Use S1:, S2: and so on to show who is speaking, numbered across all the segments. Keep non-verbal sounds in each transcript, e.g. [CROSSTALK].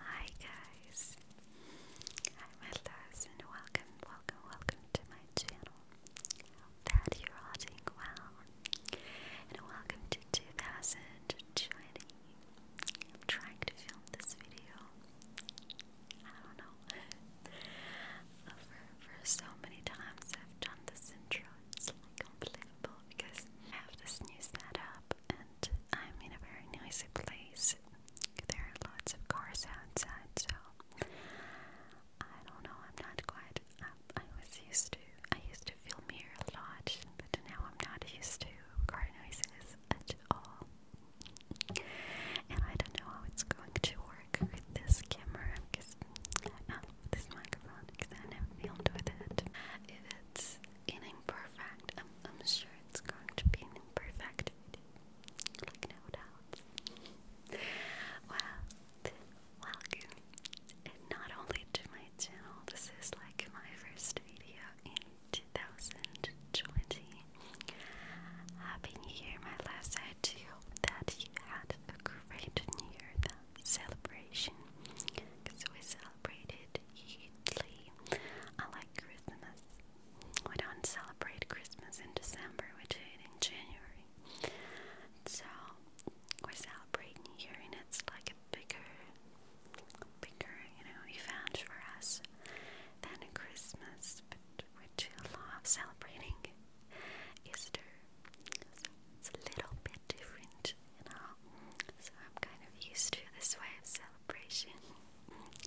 S1: Hi guys, I'm Atlas and welcome, welcome, welcome to my channel. that you're all doing well and welcome to 2020. I'm trying to film this video, I don't know, for, [LAUGHS] for so many times I've done this intro, it's like unbelievable because I have this new setup and I'm in a very noisy place. There are lots of cars outside, so I don't know. I'm not quite. Um, I, was used to. I used to film here a lot, but now I'm not used to car noises at all. And I don't know how it's going to work with this camera, because uh, this microphone, because I never filmed with it. it's an imperfect. I'm, sure it's going to be an imperfect video, like no doubts. well, welcome, and not only to my channel, this is like my first video in 2020. Happy New Year, my last I hope that you had a great New Year celebration, because we celebrated completely. I like Christmas. We don't celebrate Christmas in December, we do it in January. So we celebrate New Year and it's like a bigger bigger, you know, event for us than a Christmas, but we do love celebrating Easter. it's a little bit different, you know. So I'm kind of used to this way of celebration.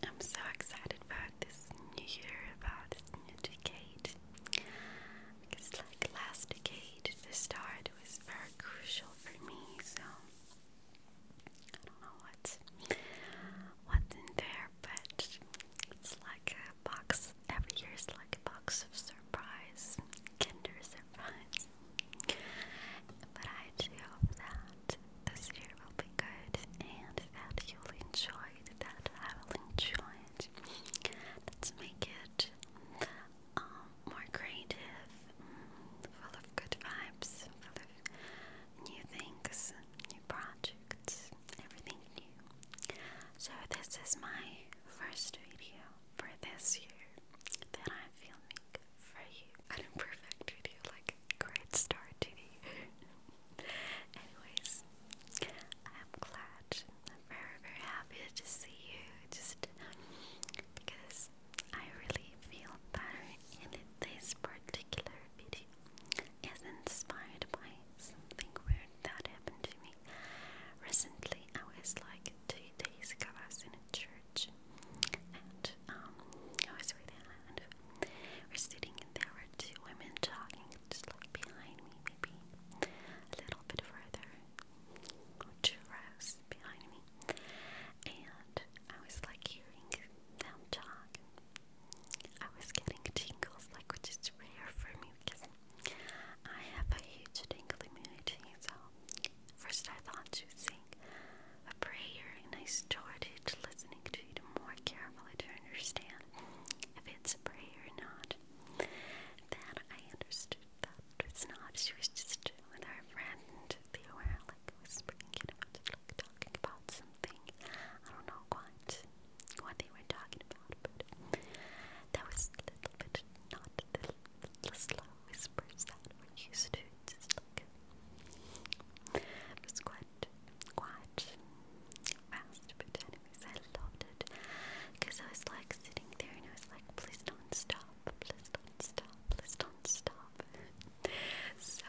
S1: I'm so excited about this new year, about this new decade. Because, like last decade, the start was very crucial for me, so I don't know what's, what's in there, but it's like a box. Every year is like a box of surprise, Kinder surprise. But I do hope that this year will be good and that you'll enjoy it, that I will enjoy it. Let's make it um, more creative, full of good vibes, full of new things, new projects, everything new. So, this is my first video for this year that I'm filming for you an imperfect video, like a great start to the Anyways, I'm glad. I'm very, very happy to see you. Just because I really feel better, and this particular video is inspired by something weird that happened to me recently. I was like two days ago. I was in a church and I was with Anna, we're sitting, and there were two women talking, just like behind me, maybe a little bit further, two rows behind me, and I was like hearing them talk. I was getting tingles, like which is rare for me because I have a huge tingle immunity. So first I thought to see a prayer, and I started listening to it more carefully to understand if it's a prayer or not. Then I understood that it's not. She was just with her friend. They were like whispering, you like talking about something. I don't know what what they were talking about, but that was a little bit not the, slow whispers that we used to look. It fast, but I loved it because I was like sitting there and I was like, please don't stop, please don't stop, please don't stop. so,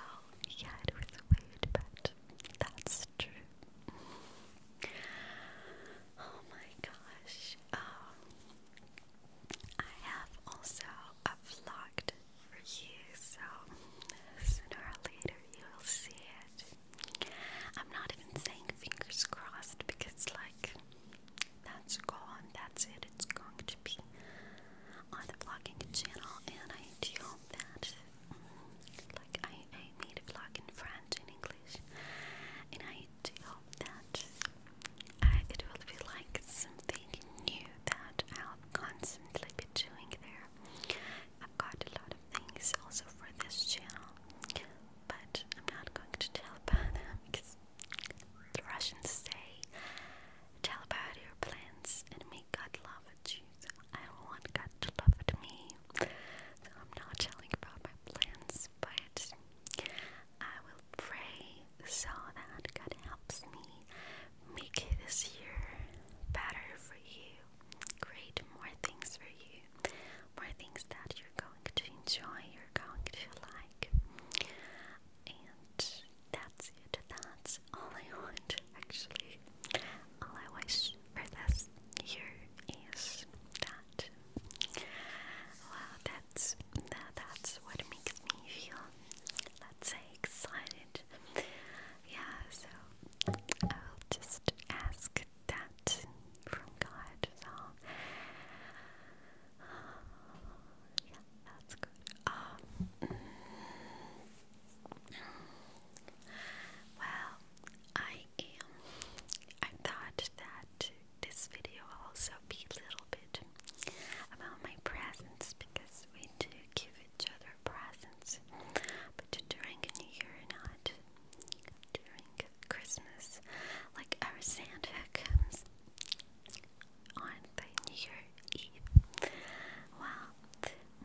S1: yeah, it was weird, but that's true. Oh my gosh. Um, I have also a vlogged for you, so sooner or later you'll see it. I'm not even saying fingers crossed because, like, that's gone, that's it, it's going to be on the vlogging channel, and I do hope that, like, I, I made a vlog in French and English, and I do hope that I, it will be like something new that I'll constantly be doing there. I've got a lot of things also for this channel, but I'm not going to tell about [LAUGHS] them because the Russians say, tell about your plans and make God love you. I don't want God to love me, I'm not telling about my plans, but I will pray so that God helps me make this year better for you, create more things for you, more things that you're going to enjoy, you're going to like. And that's it, that's all I want actually. All I wish for this year is that. Wow, that's that's what makes me feel let's say excited. Yeah, so I'll just ask that from God. So yeah, that's good. Um, well, I am. I thought that this video also grumpy little bit about my presents because we do give each other presents, but during New Year, not during Christmas. Like our Santa comes on the New Year Eve. Well,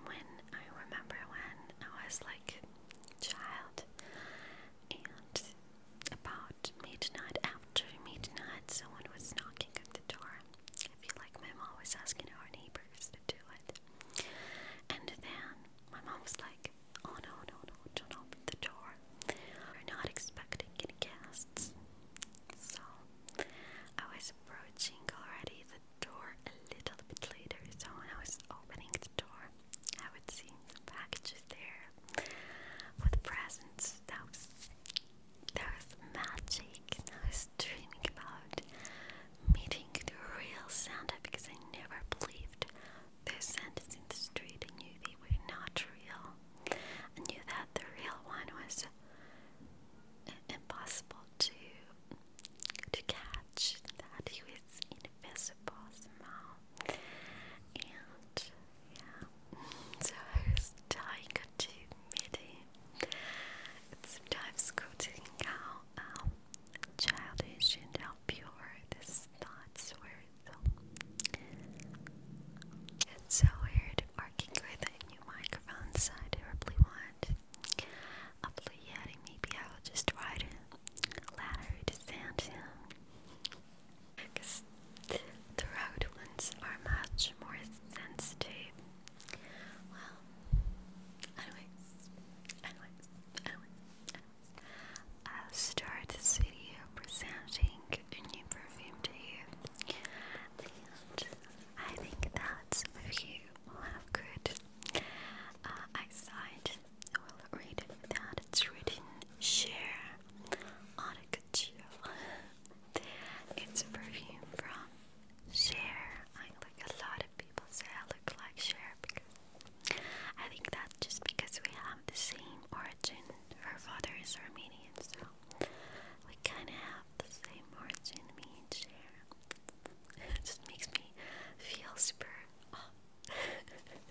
S1: when I remember when I was like child and about midnight after midnight someone was knocking at the door I feel like my mom was asking our neighbors to do it. And then my mom was like, oh no, no, no, don't open the door. We're not expecting any guests. So I was approaching already the door a little bit later. So when I was opening the door, I would see some packages there with presents. That was there was magic, I was dreaming about meeting the real Santa because I never believed those Santas in the street. I knew they were not real. I knew that the real one was impossible to to catch. That he was invisible somehow, and so I was to midi. It's sometimes quoting how childish and how pure these thoughts were. So it's so weird working with a new microphone, so I terribly want a blue Maybe I will just write a letter to send him. Because the round ones are much more sensitive. Well, anyways, anyways, anyways, i start this video presenting a new perfume to you. And I think that some you will have good uh, eyesight. Will read that it's written share on a good it's a perfume from Share. I like a lot of people say I look like Share because I think that's just because we have the same origin. Her father is Armenian, so we kind of have the same origin. Me and Share. [LAUGHS] It just makes me feel super. Oh.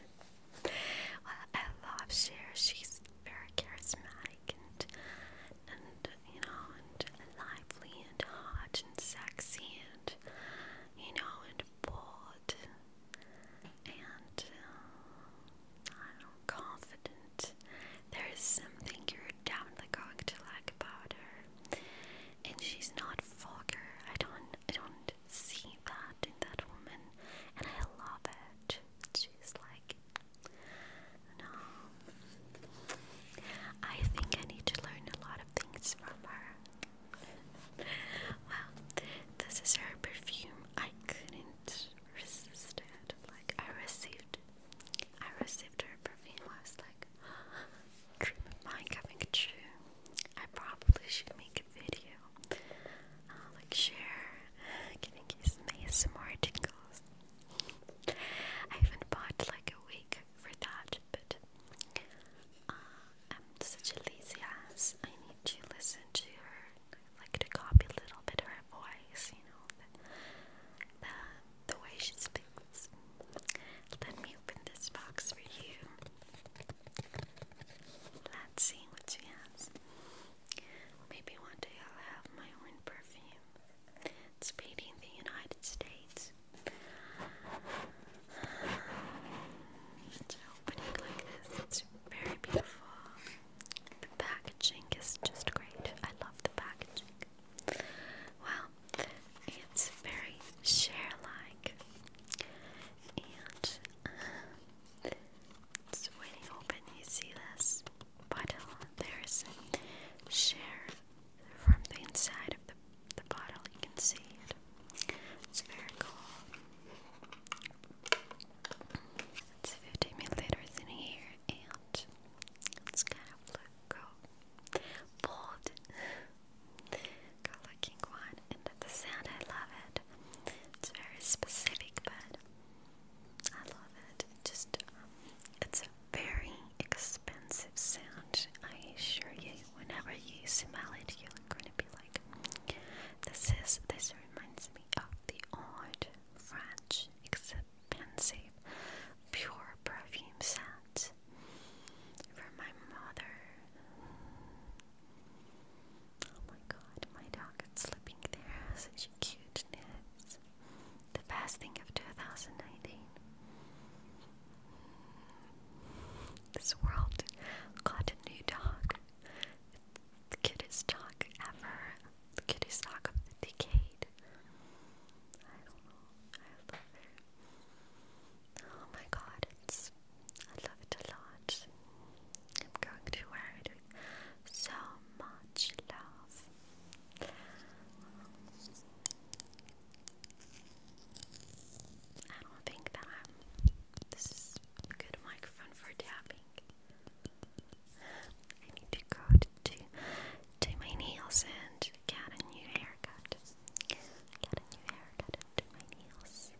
S1: [LAUGHS] well, I love Share. She's very charismatic and and you know and lively and hot and sexy and you know and bold and uh, I don't know, confident. There is something you're definitely going to like about her, and she's not vulgar. I don't I don't see that in that woman, and I love it. She's like no. I think I need to learn a lot of things from her. well, this is her perfume. I couldn't resist it. Like I received I received her perfume. I was like [GASPS] dream of mine coming true. I probably should make a video like share, giving you some more tingles. I even bought like a wig for that, but uh, I'm such a lazy ass. I need to listen to her, I like to copy a little bit her voice, you know, the, the way she speaks. Let me open this box for you. Let's see what she has. Maybe one day I'll have my own perfume. It's made in the United States. It's opening like this. It's very beautiful. The packaging is just great. I love the packaging. Well, it's very share-like. And uh, it's when open, you see this bottle. There's share from the inside of the, the bottle. You can see it. It's very cool. It's 50 milliliters in here, and it's kind of look cool. Bold. looking one. And the sound, I love it. It's very specific, but I love it. just, it's a very expensive sound. I assure you, whenever you smell it, you're going to be like, this is, this reminds me of the old French expensive pure perfume scent from my mother. Oh my god, my dog is sleeping there such cuteness. The best thing of 2019. This world got a new dog. The cutest dog ever. The cutest dog of the decade. I not know. I love it. Oh my god, it's I love it a lot. I'm going to wear it so much love. I don't think that This is a good microphone for tapping. I need to go to do my nails and get a new haircut. Get a new haircut do my nails.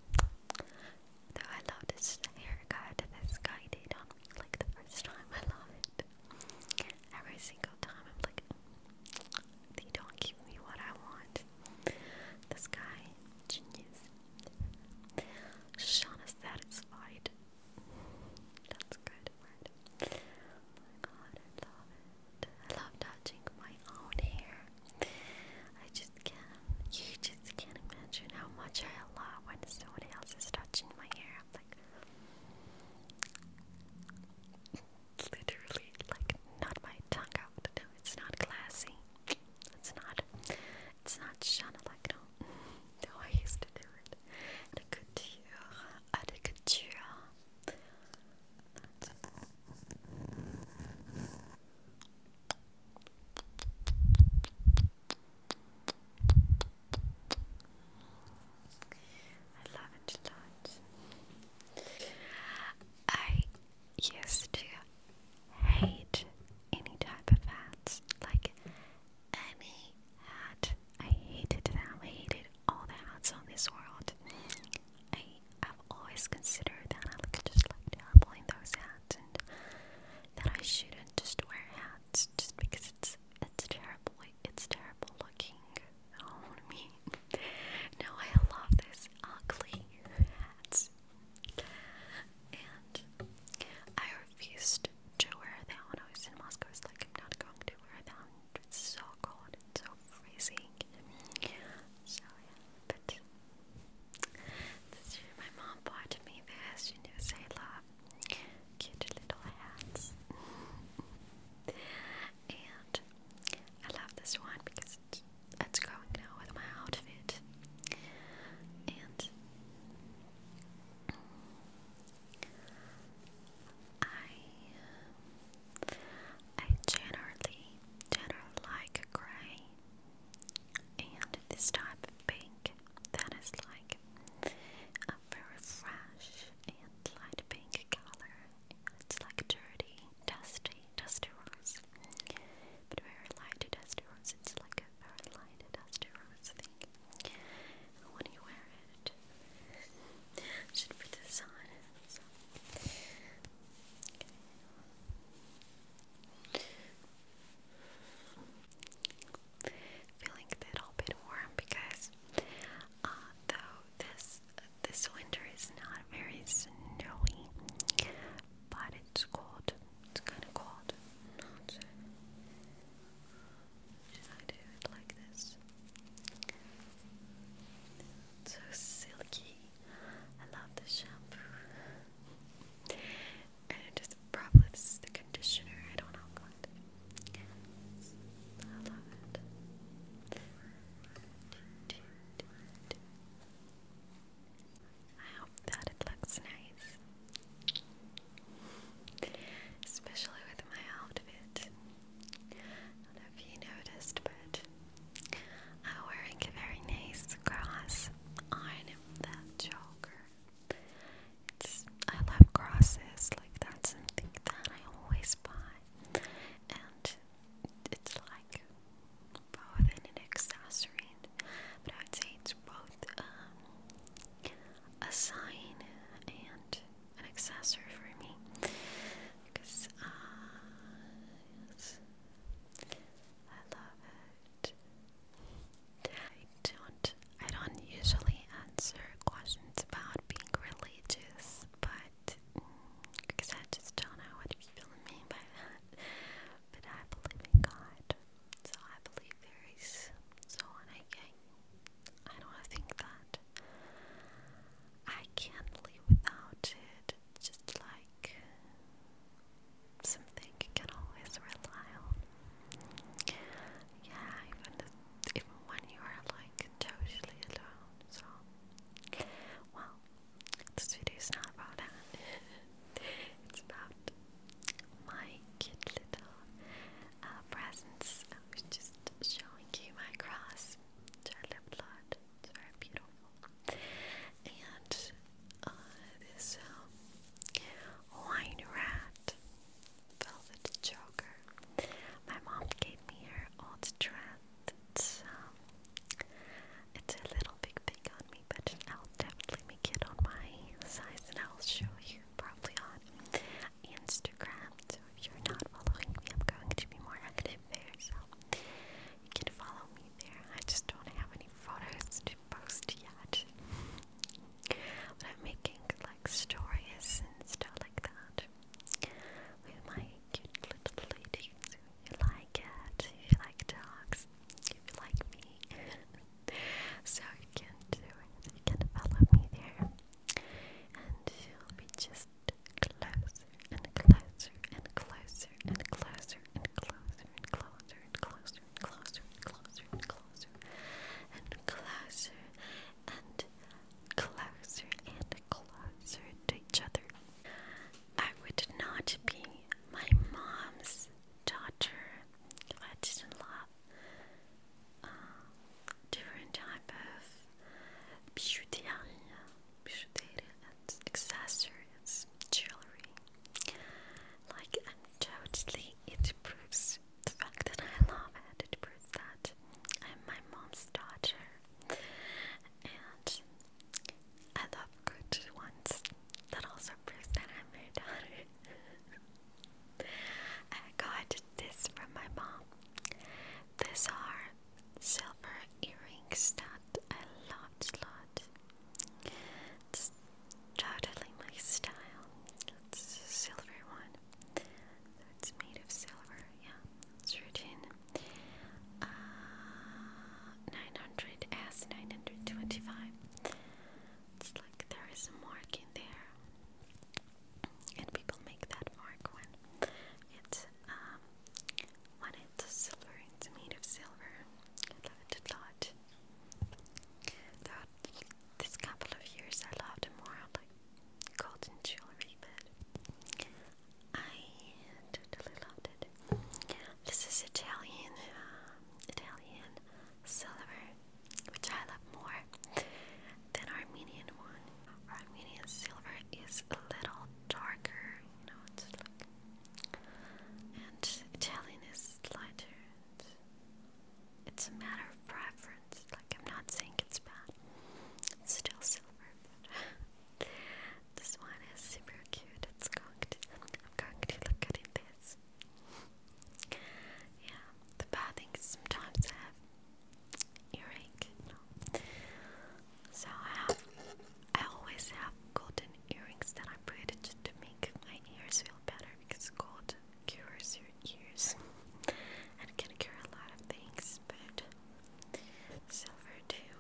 S1: Though I love this haircut this guy did on like the first time. I love it. Every single time I'm like, they don't give me what I want. This guy, genius. Sean is satisfied. That's good oh my god, I love it. I love touching my own hair. I just can't. You just I can't imagine how much I love when someone else is touching my hair. I'm like, literally, like, not my tongue out. No, it's not classy. It's not. It's not shana like no. No, I used to do it. The couture, the couture. I love it a lot. I used to hate any type of hats, like any hat. I hated them. hated all the hats on this world. I have always considered that I look just like terrible in those hats that I shouldn't just wear hats just because it's it's terrible it's terrible looking on oh, me. No, I love these ugly hats. And I refused to wear them when I was in Moscow. I like, I'm not going to wear them. It's so cold and so freezing. So yeah, but this year my mom bought me this. She knows I love cute little hats. and I love this one because it's, going now with my outfit. And I I generally generally like gray and this type pink that is like a very fresh and light pink color. It's like dirty, dusty, dusty rose, but very light dusty rose. It's like a very light dusty rose thing. And when you wear it, should be the sun feeling a little bit warm because uh, though this this winter is not very snowy, but it's cold. It's kind of cold. Not like this? so silky. I love the shampoo and it just probably this is the conditioner. I don't know what. Yes. I love it. I hope that it looks nice, especially with my outfit. I don't know if you noticed, but I'm wearing a very nice cross on that choker. I love crosses, like that's something that I always buy, and it's like both in an accessory, but I would say it's both um, a sign and an accessory for me because uh, I love it. I don't I don't usually answer questions about being religious, but because I just don't know what people mean by that. But I believe in God, so I believe there is someone I can. I don't think that I can live without it. Just like something you can always rely on. Yeah, even even when you are like totally alone. So, well, this video is not about that. [LAUGHS] it's about my cute little uh, presents. I was just showing you my cross, blood. It's very beautiful. And uh, this um, wine red velvet choker. My mom gave me her old dress. It's, um, a little big thing on me, but I'll definitely make on my size and I'll show you probably on Instagram. So if you're not following me, I'm going to be more active there. So you can follow me there. I just don't have any photos to post yet when I'm making like stories and stuff like that with my cute little lady. So you like it, you like dogs, you like me. so you can do it, you can follow me there. And you'll be just closer and closer and closer and closer and closer and closer and closer closer and closer and closer and closer and closer and closer to each other. I would not be my mom's daughter if I didn't love uh, different type of bijouterie, bijouterie and accessories, jewelry. Like, totally, it proves the fact that I love it. proves that I'm my mom's daughter. And I love good ones. That also proves that I'm her daughter. [LAUGHS] I got this from my mom. These are silver earrings that I loved a lot. It's totally my style. It's a silver one. So it's made of silver, yeah. It's written uh, 900 S 925. It's like there is a mark in there. And people make that mark when it's um when it's silver, it's made of silver. I it a lot. There this couple of years I loved more like golden jewelry, but I totally loved it. This is Italian, uh, Italian silver, which I love more than Armenian one. Armenian silver is a little darker, you know, it's like, and Italian is lighter. It's a matter of preference. Like, I'm not saying it's bad. It's still silver, but [LAUGHS] this one is super cute. It's conked. I'm going to look at it this. Yeah, the bad thing is sometimes I have earache. So I have, I always have golden earrings that I put just to make my ears feel better because gold cures your ears and can cure a lot of things, but silver too.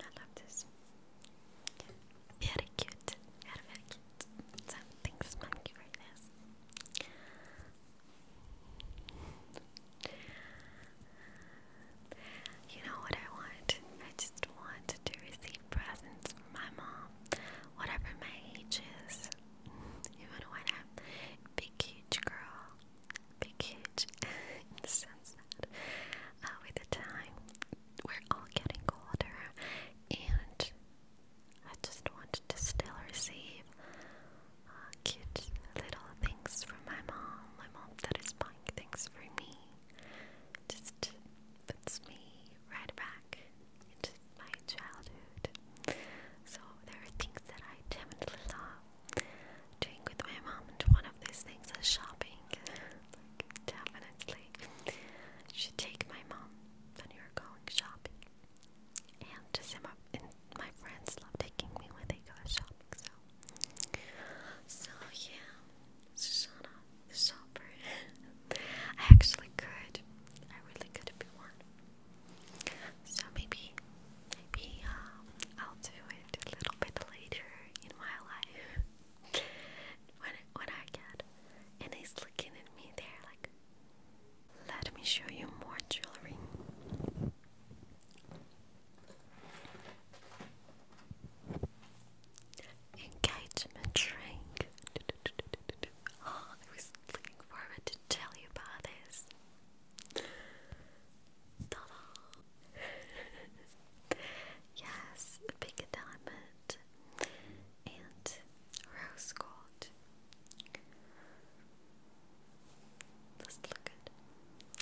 S1: I love this. Very cute. Very, very cute. thanks, monkey, for this. You know what I want? I just want to receive presents my mom, whatever my age is, even when I'm big, huge girl, big, huge, in the sense that with the time we're all getting older, and I just wanted to still receive uh, cute little things from my mom, my mom that is buying things for me. Just puts me right back into my childhood. So there are things that I definitely love doing with my mom, and one of these things is shopping. like, definitely, you should take my mom when you're going shopping. And just my and my friends love taking me when they go shopping. So, so yeah, Susanna the Shopper. I actually could. I really could be one. So maybe, maybe um, I'll do it a little bit later in my life when when I get. And he's looking at me there like, let me show you more jewelry engagement ring. Oh, I was looking forward to tell you about this. yes, a big diamond and rose gold. Let's look at.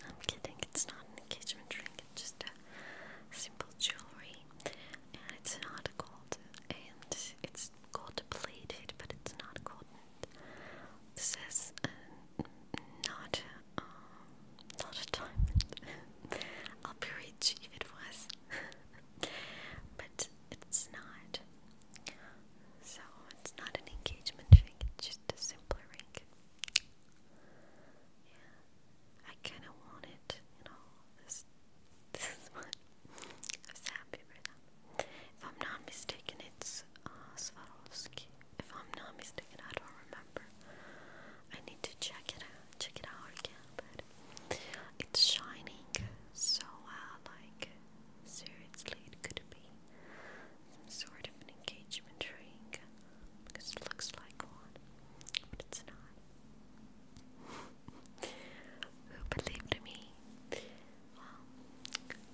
S1: I'm kidding. It's not an engagement ring. It's just a simple jewelry and it's not gold, and it's gold plated, but it's not gold. It says uh, not, um, not a diamond. [LAUGHS] I'll be rich if it was, [LAUGHS] but it's not. So it's not an engagement ring; it's just a simple ring. Yeah. I kind of want it, you know. This, this is what I was happy with. Them. If I'm not mistaken, it's uh, Swarovski. If I'm not mistaken, I don't remember. I need to check it out, check it out again. But it's shining so well, like seriously, it could be some sort of an engagement ring because it looks like one, but it's not. Who believed me? Well,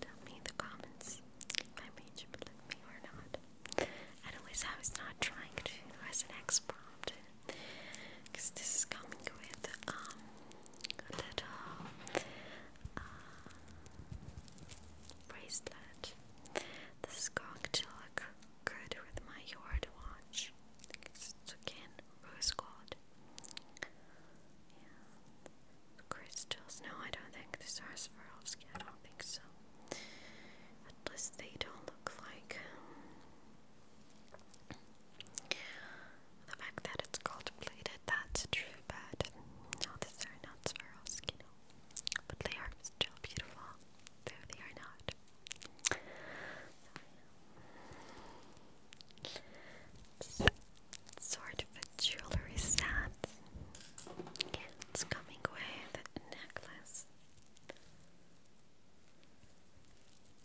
S1: tell me in the comments if I made you believe me or not. Anyways, I was not trying to as an ex prompt because this is coming with um, a little uh, bracelet. This is going to look good with my yard watch. I think it's, it's again rose crystals. No, I don't think these are Swarovski. skin. I don't think so. At least they don't look like. Um, the fact that it's gold plated, that's true, but no, these are not Swarovski, no. But they are still beautiful, they are not sort of a jewelry set. It's coming with a necklace.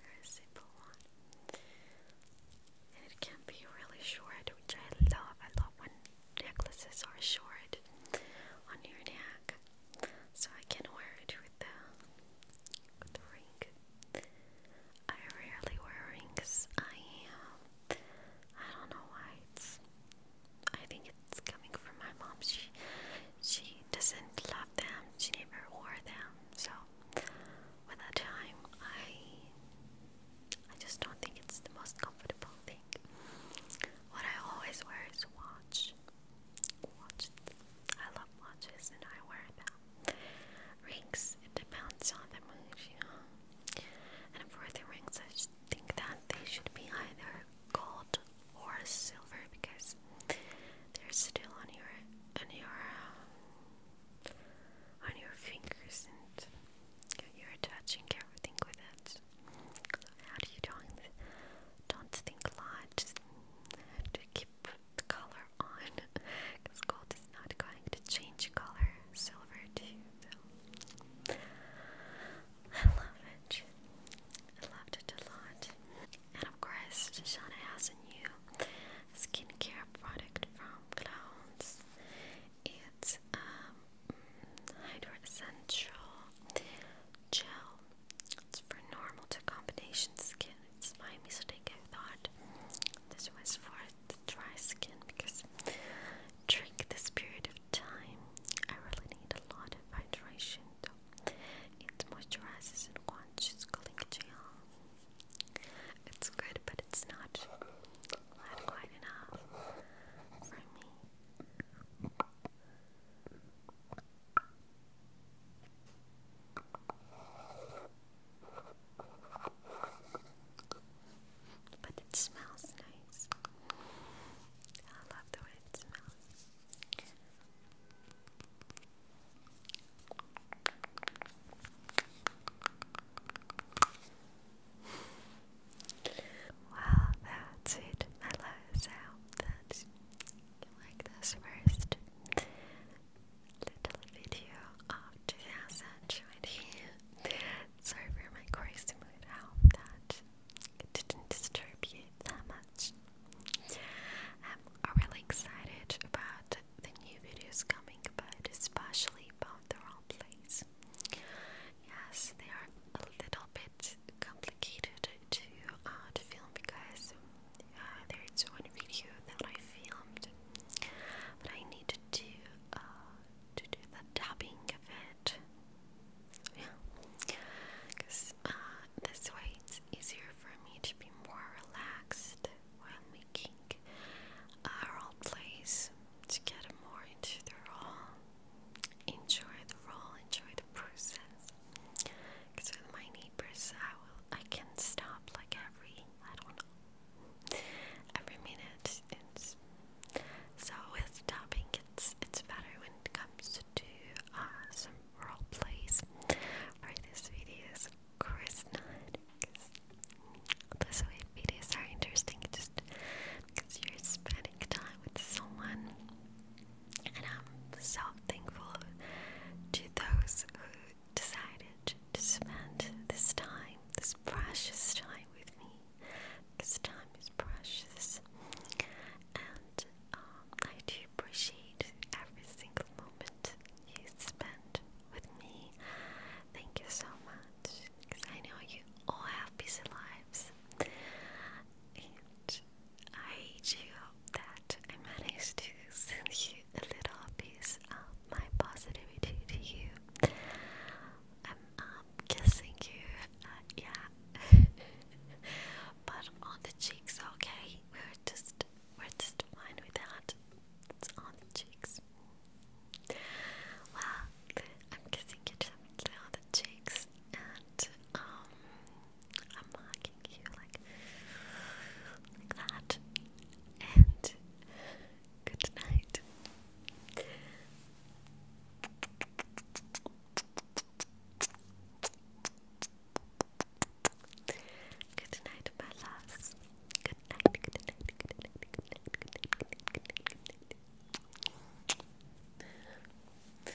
S1: Very simple one. it can be really short, which I love. I love when necklaces are short on your neck so I can wear it with the, ring. I rarely wear rings. I uh, I don't know why I think it's coming from my mom. She she doesn't love them. She never wore them. So with time, I I just don't think it's the most comfortable thing. What I always wear is watch. Watches. I love watches and I wear them. Rings, it depends on the mood, you know. And for the rings, I just think that they should be either gold or silver because they're still on your on your um, on your fingers and you're touching everything with it. how do you join don't think a lot, just keep the color on because gold is not going to change color, silver too, I love it, I loved it a lot and of course Shoshana has a new skincare product from Clowns it's um, Hydro Gel it's for normal to combination skin. It's fine, my mistake, I thought. This was for the dry skin because during this period of time, I really need a lot of hydration though. It moisturizes and quenches It's good, but it's not, not quite enough for me. But it smells nice. I love the way it smells. Well, that's it, my last sound. That's like this first little video of Jazz Sorry for my crazy mood. I that it didn't disturb that much. I'm really excited about the new videos coming, but especially about the role place. Yes, they are a little bit complicated to uh, to film because uh, there's one video that I filmed, but I needed to uh, to do the dubbing of it. Yeah, because uh, this way it's easier for me to be more relaxed while making uh, role plays to get more into the role, enjoy the role, enjoy the process. Because with my neighbors, I will, I can stop like every, I don't know, every minute. It's so with stopping, it's it's better when it comes to uh, some role plays. For this video is of this way videos are interesting just because you're spending time with someone. And I'm so thankful to those who decided to spend this time, this precious time with me. Because time is precious. And um, I do appreciate every single moment you spend with me. Thank you so much. Because I know you all have busy lives. I do hope that I managed to send you a little piece of my positivity to you. I'm um, kissing you, uh, yeah, [LAUGHS] but on the cheeks, okay? We're just, we're just fine with It's on the cheeks. Well, I'm kissing you gently on the cheeks, and um, I'm marking you like like that. And good night. Good night, my loves. good night, good night, good night, good night, good night, good night, good night. Good night.